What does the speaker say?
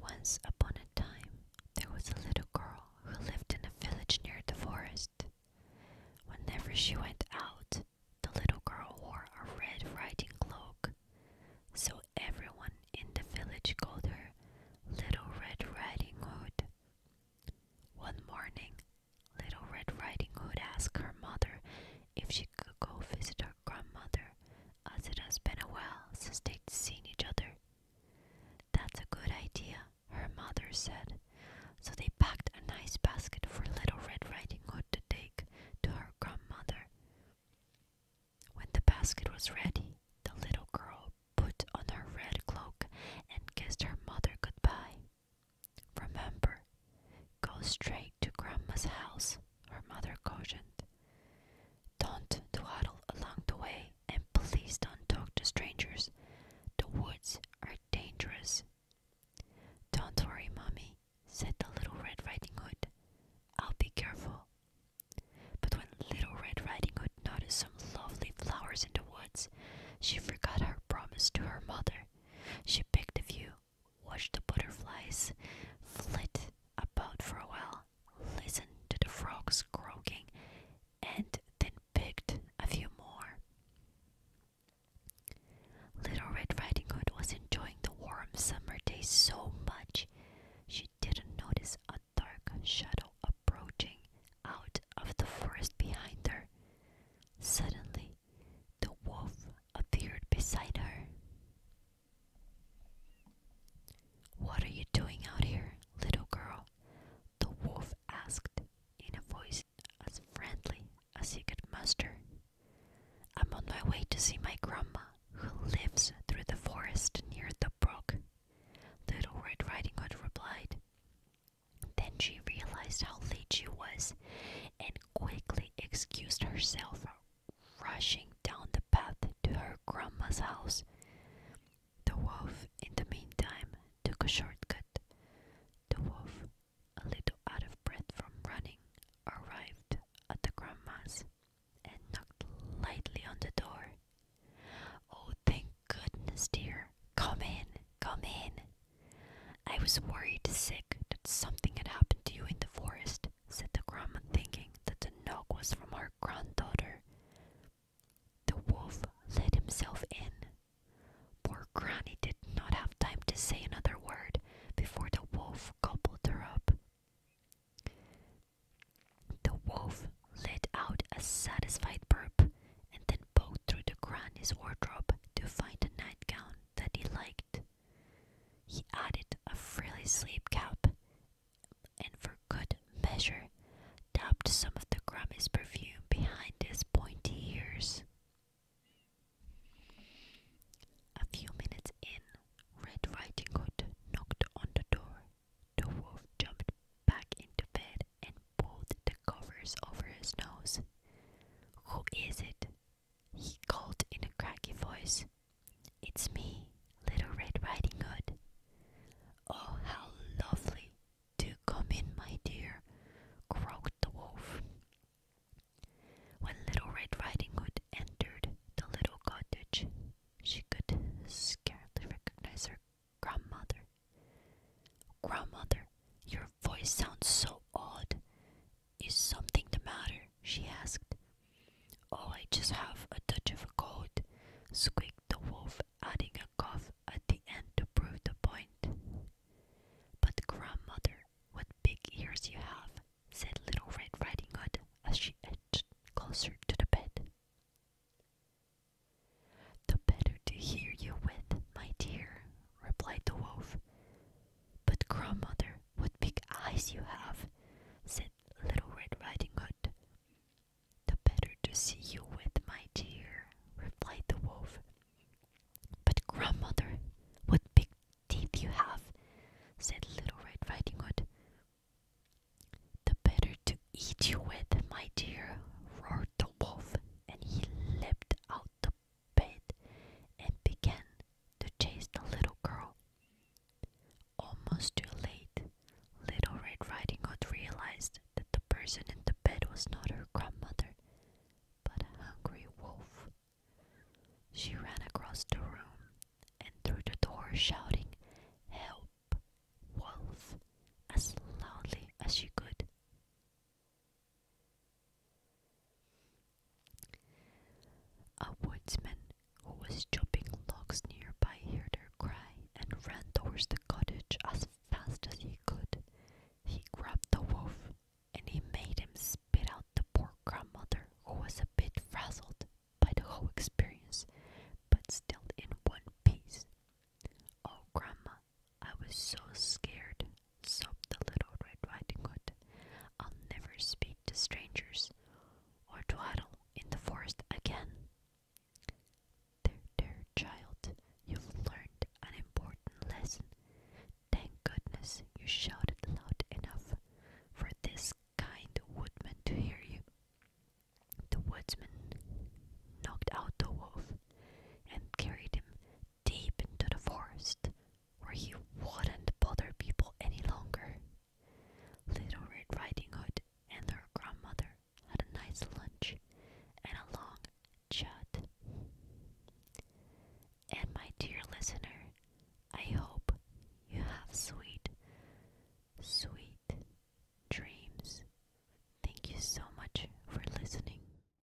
Once upon a time, there was a little girl who lived in a village near the forest. Whenever she went out, the little girl wore a red riding cloak, so everyone in the village called her Little Red Riding Hood. One morning, Little Red Riding Hood asked her mother if she could go visit her grandmother as it has been a while since they'd seen each other. That's a good idea, her mother said. So they packed a nice basket for Little Red Riding Hood to take to her grandmother. When the basket was ready, the little girl put on her red cloak and kissed her mother goodbye. Remember, go straight to Grandma's house, her mother cautioned. Don't dawdle along the way, and please don't talk to strangers. The woods are dangerous. Don't worry, Mommy, said the Little Red Riding Hood. I'll be careful. But when Little Red Riding Hood noticed some lovely flowers in the woods, she forgot her promise to her mother. She picked a few, watched the butterflies flit about for a while, listened to the frogs croaking, and then picked a few more. Little Red Riding Hood was enjoying the warm summer day so much she didn't notice a dark shadow approaching out of the forest behind her. Suddenly, the wolf appeared beside her. What are you doing out here, little girl? the wolf asked in a voice as friendly as he could muster. I'm on my way to see my grandma, who lives through the forest near the brook. Little Red Riding Hood replied. Then she realized how late she was and quickly excused herself rushing down the path to her grandma's house. The wolf, in the meantime, took a shortcut. The wolf, a little out of breath from running, arrived at the grandma's and knocked lightly on the door. Oh, thank goodness, dear. Come in, come in. I was worried sick that something had happened to you in the forest said the grandma, thinking that the knock was from her granddaughter. The wolf let himself in. Poor Granny did not have time to say another word before the wolf gobbled her up. The wolf let out a satisfied purr and then poked through the granny's wardrobe to find a nightgown that he liked. He added a frilly sleep cap, and for good measure, dabbed some of the Grammy's perfume behind his pointy ears. A few minutes in, Red Riding Hood knocked on the door. The wolf jumped back into bed and pulled the covers over his nose. Who is it? he called in a cracky voice. It's me, Little Red Riding Hood. Oh, how lovely! Do come in, my dear, croaked the wolf. When Little Red Riding Hood entered the little cottage, she could scarcely recognize her grandmother. Grandmother, your voice sounds so odd. Is something the matter? she asked. Oh, I just have a touch of a cold, squeaked the wolf, adding a cough at the end to prove the point. But, grandmother, what big ears you have, said Little Red Riding Hood as she edged closer to the bed. The better to hear you with, my dear, replied the wolf. But grandmother, what big eyes you have, said Little Red Riding Hood. The better to see you with, my dear, replied the wolf. But grandmother, what big teeth you have, said Little Red Riding Hood. The better to eat you with, my dear, roared the wolf, and he leaped out bed and began to chase the little girl. Almost too late, Little Red Riding Hood realized that the person in the bed was not her grandmother, but a hungry wolf. She ran across the room and through the door, shouting, Help, wolf, as loudly as she could. A woodsman who was chopping logs nearby heard her cry and ran towards the cottage as fast as he could. He grabbed the wolf and he made him spit out the poor grandmother who was a bit frazzled by the whole experience, but still in one piece. Oh, Grandma, I was so scared, sobbed the little Red Riding Hood. I'll never speak to strangers or dawdle in the forest again. There, child, you've learned an important lesson. Thank goodness you shouted loud enough for this kind woodman to hear you. The woodsman knocked out the wolf and carried him deep into the forest where he wouldn't bother people any longer. Little Red Riding Hood and her grandmother had a nice lunch and a long chat. And my dear listener, I hope you have sweet, sweet dreams. Thank you so much for listening.